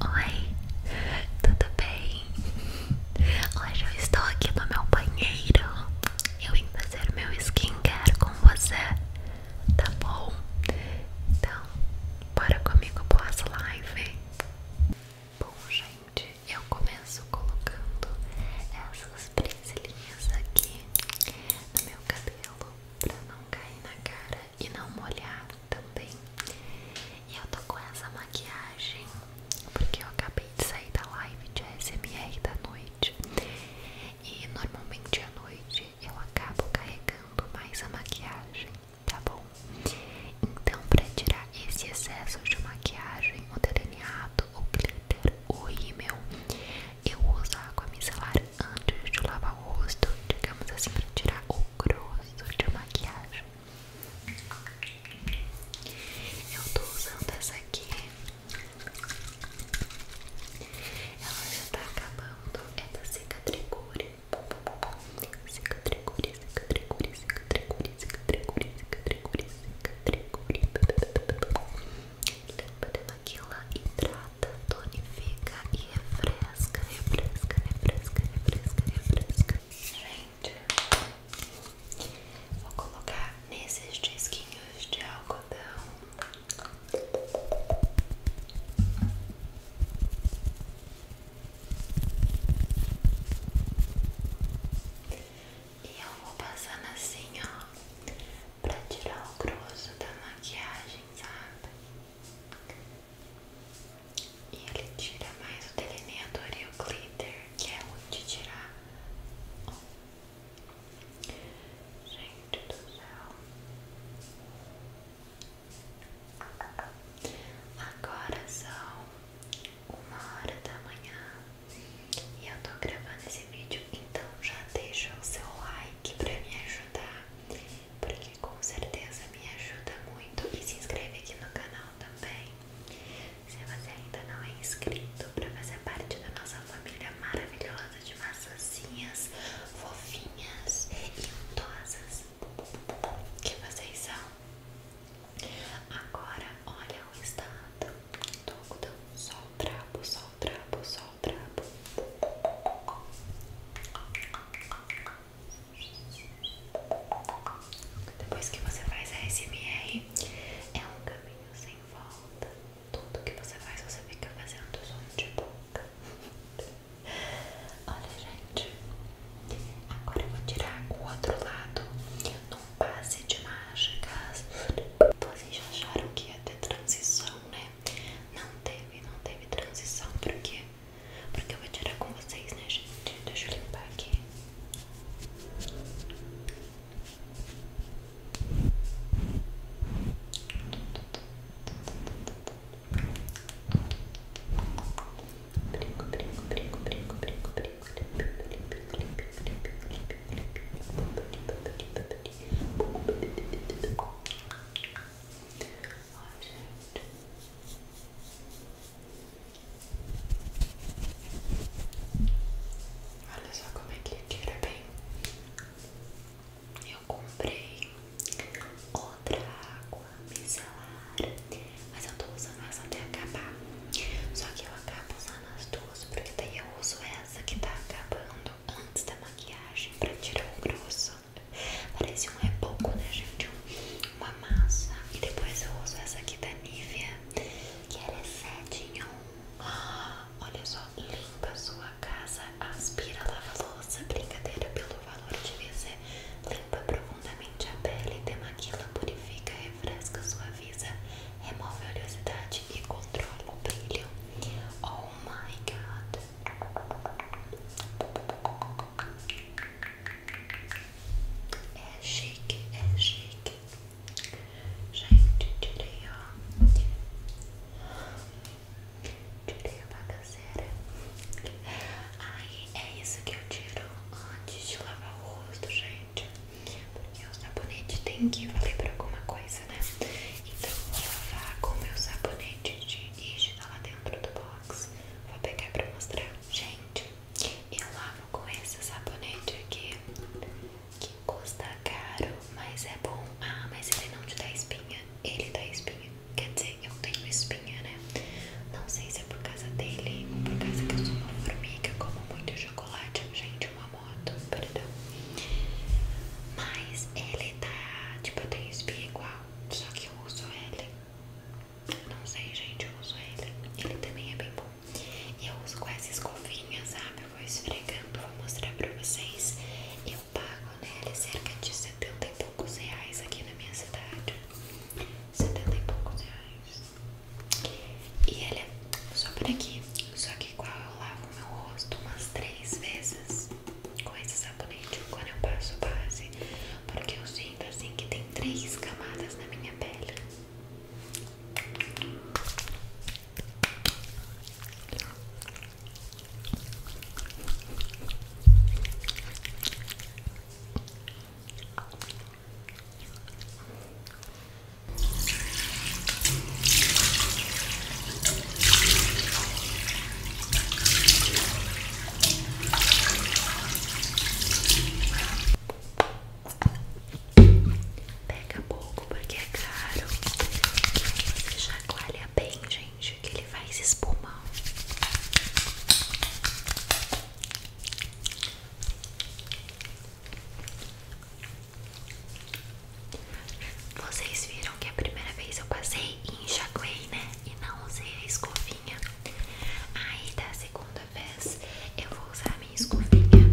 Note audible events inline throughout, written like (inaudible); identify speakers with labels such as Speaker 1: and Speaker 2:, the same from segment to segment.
Speaker 1: Oi, tudo bem? Hoje eu estou aqui no meu banheiro. Eu vim fazer meu skincare com você, tá bom? Então, bora comigo para essa live. Bom, gente, eu começo colocando essas presilhinhas aqui no meu cabelo para não cair na cara e não molhar também. E eu tô com essa maquiagem porque eu acabei de sair da live de SMR da noite. E normalmente à noite eu acabo carregando mais a maquiagem, tá bom? Então, para tirar esse excesso de maquiagem, o delineado, o glitter, o rímel, eu uso água micelar antes de lavar o rosto, digamos assim, para tirar o grosso de maquiagem. Eu tô usando essa aqui. Ela já tá acabando. É da Cicatricure. Cicatricure, Cicatricure, Cicatricure, Cicatricure, Cicatricure, Cicatricure. Limpa, demaquila, hidrata, tonifica refresca, refresca, refresca, refresca, refresca. Gente, vou colocar nesses disquinhos de algodão. E eu vou passando assim, ó, pra tirar o grosso da maquiagem, sabe? E ele tira mais o delineador e o glitter, que é onde tirar. Gente do céu. Agora são uma hora da manhã e eu tô gravando esse vídeo, então já deixa o seu like pra me ajudar porque com certeza me ajuda muito. E se inscreve aqui no canal também. Se você ainda não é inscrito, para fazer parte da nossa família maravilhosa de maçãzinhas fofinhas e untosas que vocês são. Agora, olha o estado do algodão. Só o trapo, sol trapo, só o trapo. Depois que você faz a SMR, é um caminho sem volta. Tudo que você faz, você fica fazendo som de boca. (laughs) Olha, gente. Agora eu vou tirar o outro lado num passe de mágicas. Vocês acharam que ia ter transição, né? Não teve, não teve transição, por porque porque eu vou tirar com vocês, né, gente? Deixa eu limpar aqui. Brinco, brinco, brinco, brinco, brinco, brinco, Ó, gente. Olha só como é que ele tira bem. Eu comprei outra água micelar, mas eu tô usando essa até acabar. Só que eu acabo usando as duas, porque daí eu uso essa que tá acabando antes da maquiagem pra tirar o grosso. Parece um reboco, né, gente? massa. E depois eu uso essa aqui da Nivea, que ela é 7 em 1. Olha só, limpa a sua casa, aspira, lava a louça, brincadeira pelo valor de ser limpa profundamente a pele, demaquila, purifica, refresca, sua suaviza, remove a oleosidade e controla o brilho. Oh my god! É chique, é chique. Gente, tirei, ó. Tirei a bagaceira. Aí é isso que eu tiro antes de lavar o rosto, gente. Porque o sabonete tem que valer pra alguma coisa, né? Então eu vou lavar com o meu sabonete de Ishi lá dentro do box. Vou pegar pra mostrar. Gente, eu lavo com esse sabonete aqui que custa caro, mas é bom. Ah, mas ele não te dá espinha. Ele dá espinha. Quer dizer, eu tenho espinha, né? Não sei se é por causa dele ou por causa que eu sou uma formiga, como muito chocolate. Gente, uma moto, perdão. Mas ele tá. Tipo, eu tenho espinha igual, só que eu uso ele. Não sei, gente, eu uso ele. Ele também é bem bom. E eu uso com essas escovinha, sabe? Eu vou esfregando, vou mostrar pra vocês. Eu pago nele cerca de 70 e poucos reais aqui na minha cidade. 70 e poucos reais. E ele é só por aqui. Só que igual eu lavo meu rosto umas três vezes com esse sabonete quando eu passo base. Porque eu sinto assim que tem três camadas minha pele. Pega pouco porque é caro. Você chacoalha bem, gente, que ele faz espuma. Vocês viram que a primeira vez eu passei e enxaguei, né? E não usei a escovinha. Aí da segunda vez eu vou usar a minha escovinha.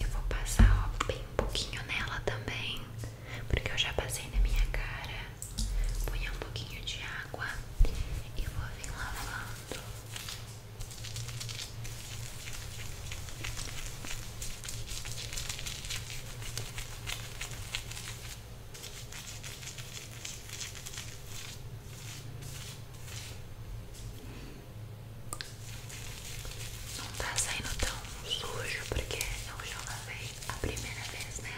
Speaker 1: Eu vou passar bem um pouquinho nela também, porque eu já passei na minha cara. Põe um pouquinho de água e vou vir lavando. Vou não tá saindo tão sujo porque eu já lavei a primeira vez, né?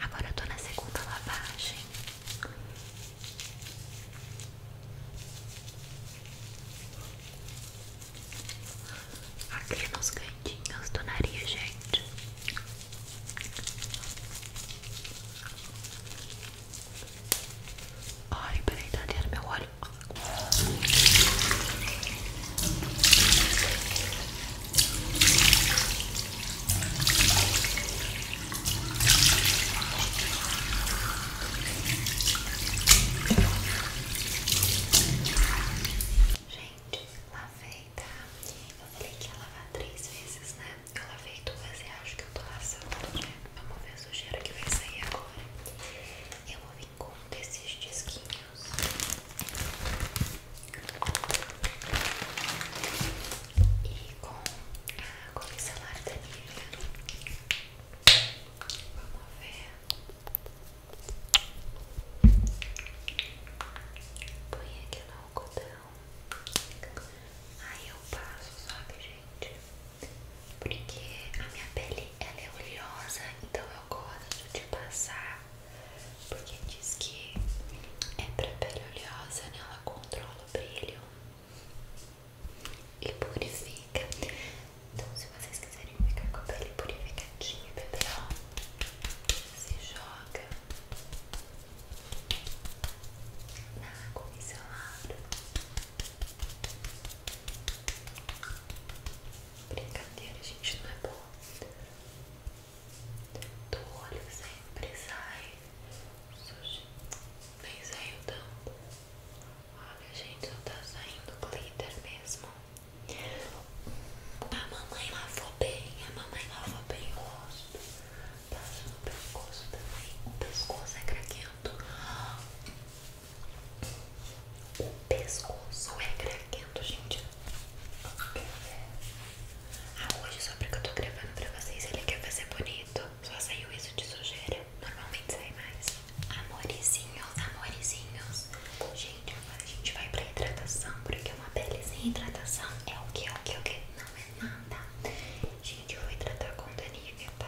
Speaker 1: Agora eu tô na segunda lavagem. Aqui nos cantinhos do nariz, gente. Ai, peraí, tá ali meu olho. Gente, lavei, tá? Eu falei que ia lavar três vezes, né? Eu lavei duas e acho que eu tô laçando, né? Vamos ver a sujeira que vai sair agora. Eu vou vir com um desses disquinhos. E com a água micelar da Vamos ver. Põe aqui no algodão. Aí eu passo, sabe, gente? Porque a minha pele ela é oleosa, então eu gosto de passar. Porque diz que é pra pele oleosa, né? Ela controla o brilho e purifica. Então, se vocês quiserem ficar com a pele purificadinha, bebê, ó, se joga na água micelada, brincadeira, gente, não é bom. Do olho sempre sai sujo, nem eu tanto. Olha, gente, eu tá saindo glitter mesmo. A mamãe lavou bem, a mamãe lavou bem o rosto. Passa no pescoço também. O pescoço é craquento. O pescoço é craquento, gente. Ah, hoje só porque eu tô gravando pra vocês, ele quer fazer bonito. Só saiu isso de sujeira. Normalmente sai mais. Amorizinhos, amorizinhos. Gente, agora a gente vai pra hidratação, porque uma pele sem hidratação é o que, é o que, é o que? Não é nada. Gente, eu vou hidratar com Dani Tá.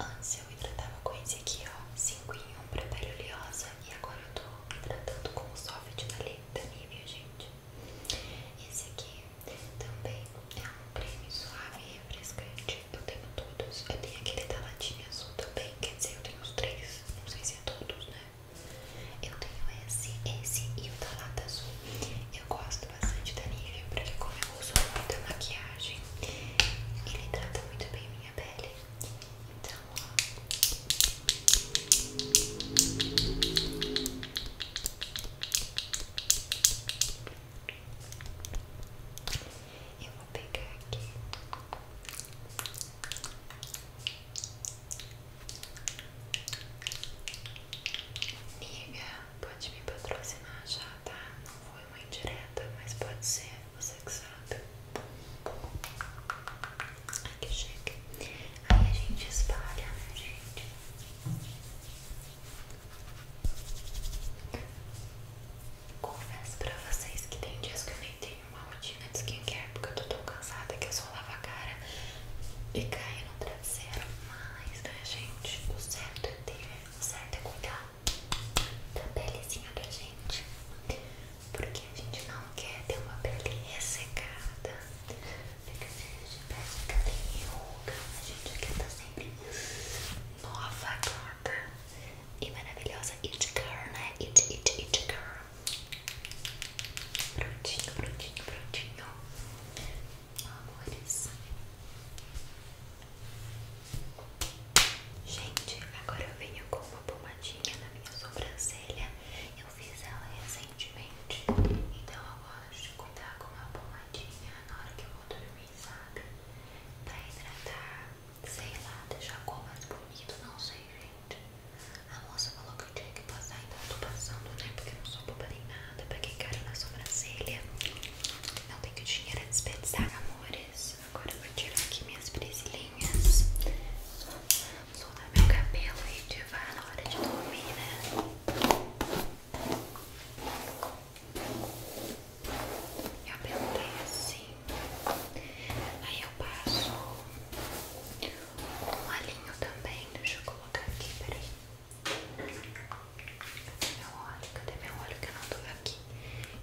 Speaker 1: Antes eu hidratava com esse aqui, ó. 5 em 1 pra pele oleosa. E agora eu tô hidratando com o soft da da Nivea, gente. Esse aqui também é um creme suave e refrescante. Eu tenho todos. Eu tenho aquele da latinha azul também. Quer dizer, eu tenho os três. Não sei se é todos, né? Eu tenho esse, esse e o da lata azul. Eu gosto bastante da Nivea ele como eu uso muita maquiagem, ele trata muito bem minha pele. Então, Eu vou pegar aqui. Nivea pode me patrocinar já, tá? Não foi uma indireta, mas pode ser, você que sabe. Ai que chique. Aí a gente espalha, né, gente? Confesso pra vocês que tem dias que eu nem tenho uma rotina de skincare porque eu tô tão cansada que eu só lavo a cara e caio no traseiro Mas, né, gente? O certo é ter Tá certo é cuidar da pelezinha da gente, porque a gente não quer ter uma pele ressecada, porque de pele fica liuga, a gente quer estar tá sempre nova, gorda e maravilhosa. It girl, né? It, it, it girl. Prontinho, prontinho, prontinho amores. Gente, agora eu venho com uma pomadinha na minha sobrancelha. Eu fiz ela recentemente, então eu gosto de cuidar com uma pomadinha na hora que eu vou dormir, sabe? Pra hidratar, sei lá, deixar a cor mais bonita, não sei, gente. A moça falou que eu tinha que passar, então eu tô passando, né? Porque eu não sou boba nem nada nada pra quem caiu na sobrancelha. Não tenho dinheiro a desperdiçar, amores. Agora eu vou tirar aqui minhas presilhinhas. Soltar meu cabelo e ativar na hora de dormir, né? Eu apertei assim. Aí eu passo um alinho também. Deixa eu colocar aqui, peraí. Cadê meu óleo? Cadê meu óleo que eu não tô aqui?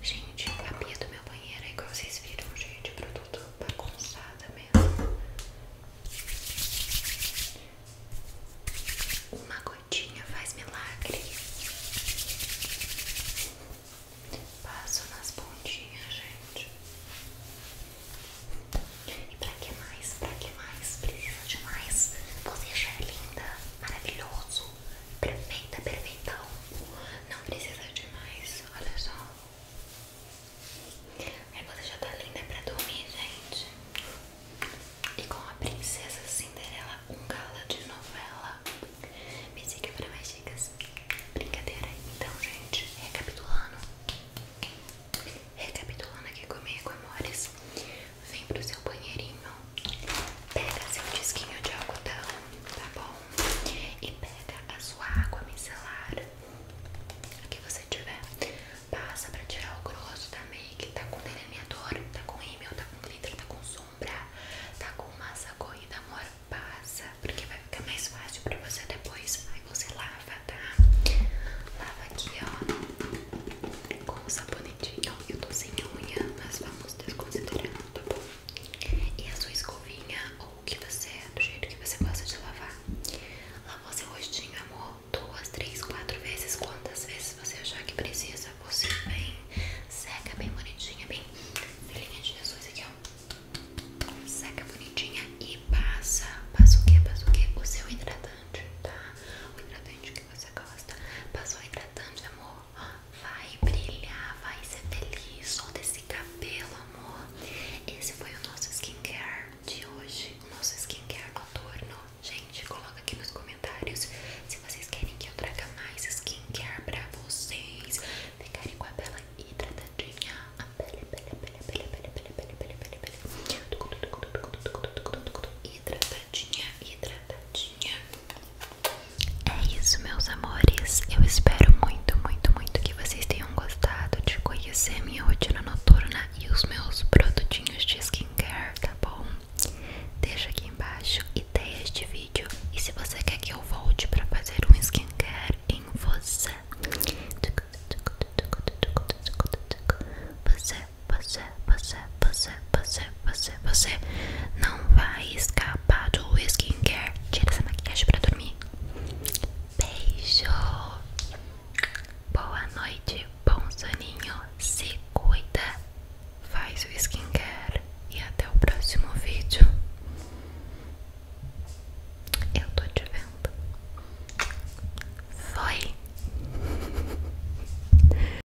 Speaker 1: Gente, a pia do meu banheiro aí igual vocês viram, gente, produto bagunçada mesmo. Uma gotinha faz milagre. Passo nas pontinhas, gente. E pra que mais? Pra que mais precisa de mais? Você é linda, maravilhoso, perfeita, perfeitão. Não precisa de mais, olha só. Aí você já tá linda pra dormir, gente. E com a princesa Cinderela, um gala de novela. Me siga pra mais dicas. Brincadeira. Então, gente, recapitulando. Recapitulando aqui comigo, amores vem pro seu banheirinho, pega seu disquinho de algodão, tá bom? E pega a sua água micelar, a que você tiver, passa pra tirar o grosso da make, tá com delineador, tá com rímel, tá com glitter, tá com sombra, tá com massa corrida, amor, passa, porque vai ficar mais fácil pra você depois, aí você lava, tá? Lava aqui, ó, com o sabonete dentinho, eu tô sem unha, mas vamos desconsiderando, tá bom? E a sua escovinha, ou o que você, é, do jeito que você gosta de lavar. Lavou seu rostinho, amor, duas, três, quatro vezes, quantas vezes você achar que precisa. Você é bem seca, bem bonitinha, bem filhinha de Jesus aqui, ó. Seca bonitinha e passa, passa o que? Passa o que? O seu hidratante, tá? O hidratante que você gosta. Passou hidratante, amor? Vai brilhar, vai ser feliz. Solta esse cabelo, amor. Esse foi o nosso skincare de hoje. O nosso skincare ao noturno. Gente, coloca aqui nos comentários se vocês querem que eu traga mais skincare pra vocês. Ficarem com a pele hidratadinha. A pele, pele, pele, pele, pele, pele, pele, pele, pele, pele. Hidratadinha, hidratadinha. É isso, meus amores. Eu espero muito, muito, muito que vocês tenham gostado de conhecer minha rotina noturna e os meus produtinhos de skincare, tá bom? Deixa aqui embaixo ideias de vídeo e se você quer que eu volte para fazer um skincare em você, você você, você, você, você, você, você não vai escapar do skincare. Tira essa maquiagem pra dormir. Beijo. Boa noite, bom soninho. Se cuida. Faz o skincare. E até o próximo vídeo. Eu tô te vendo. Foi. (laughs)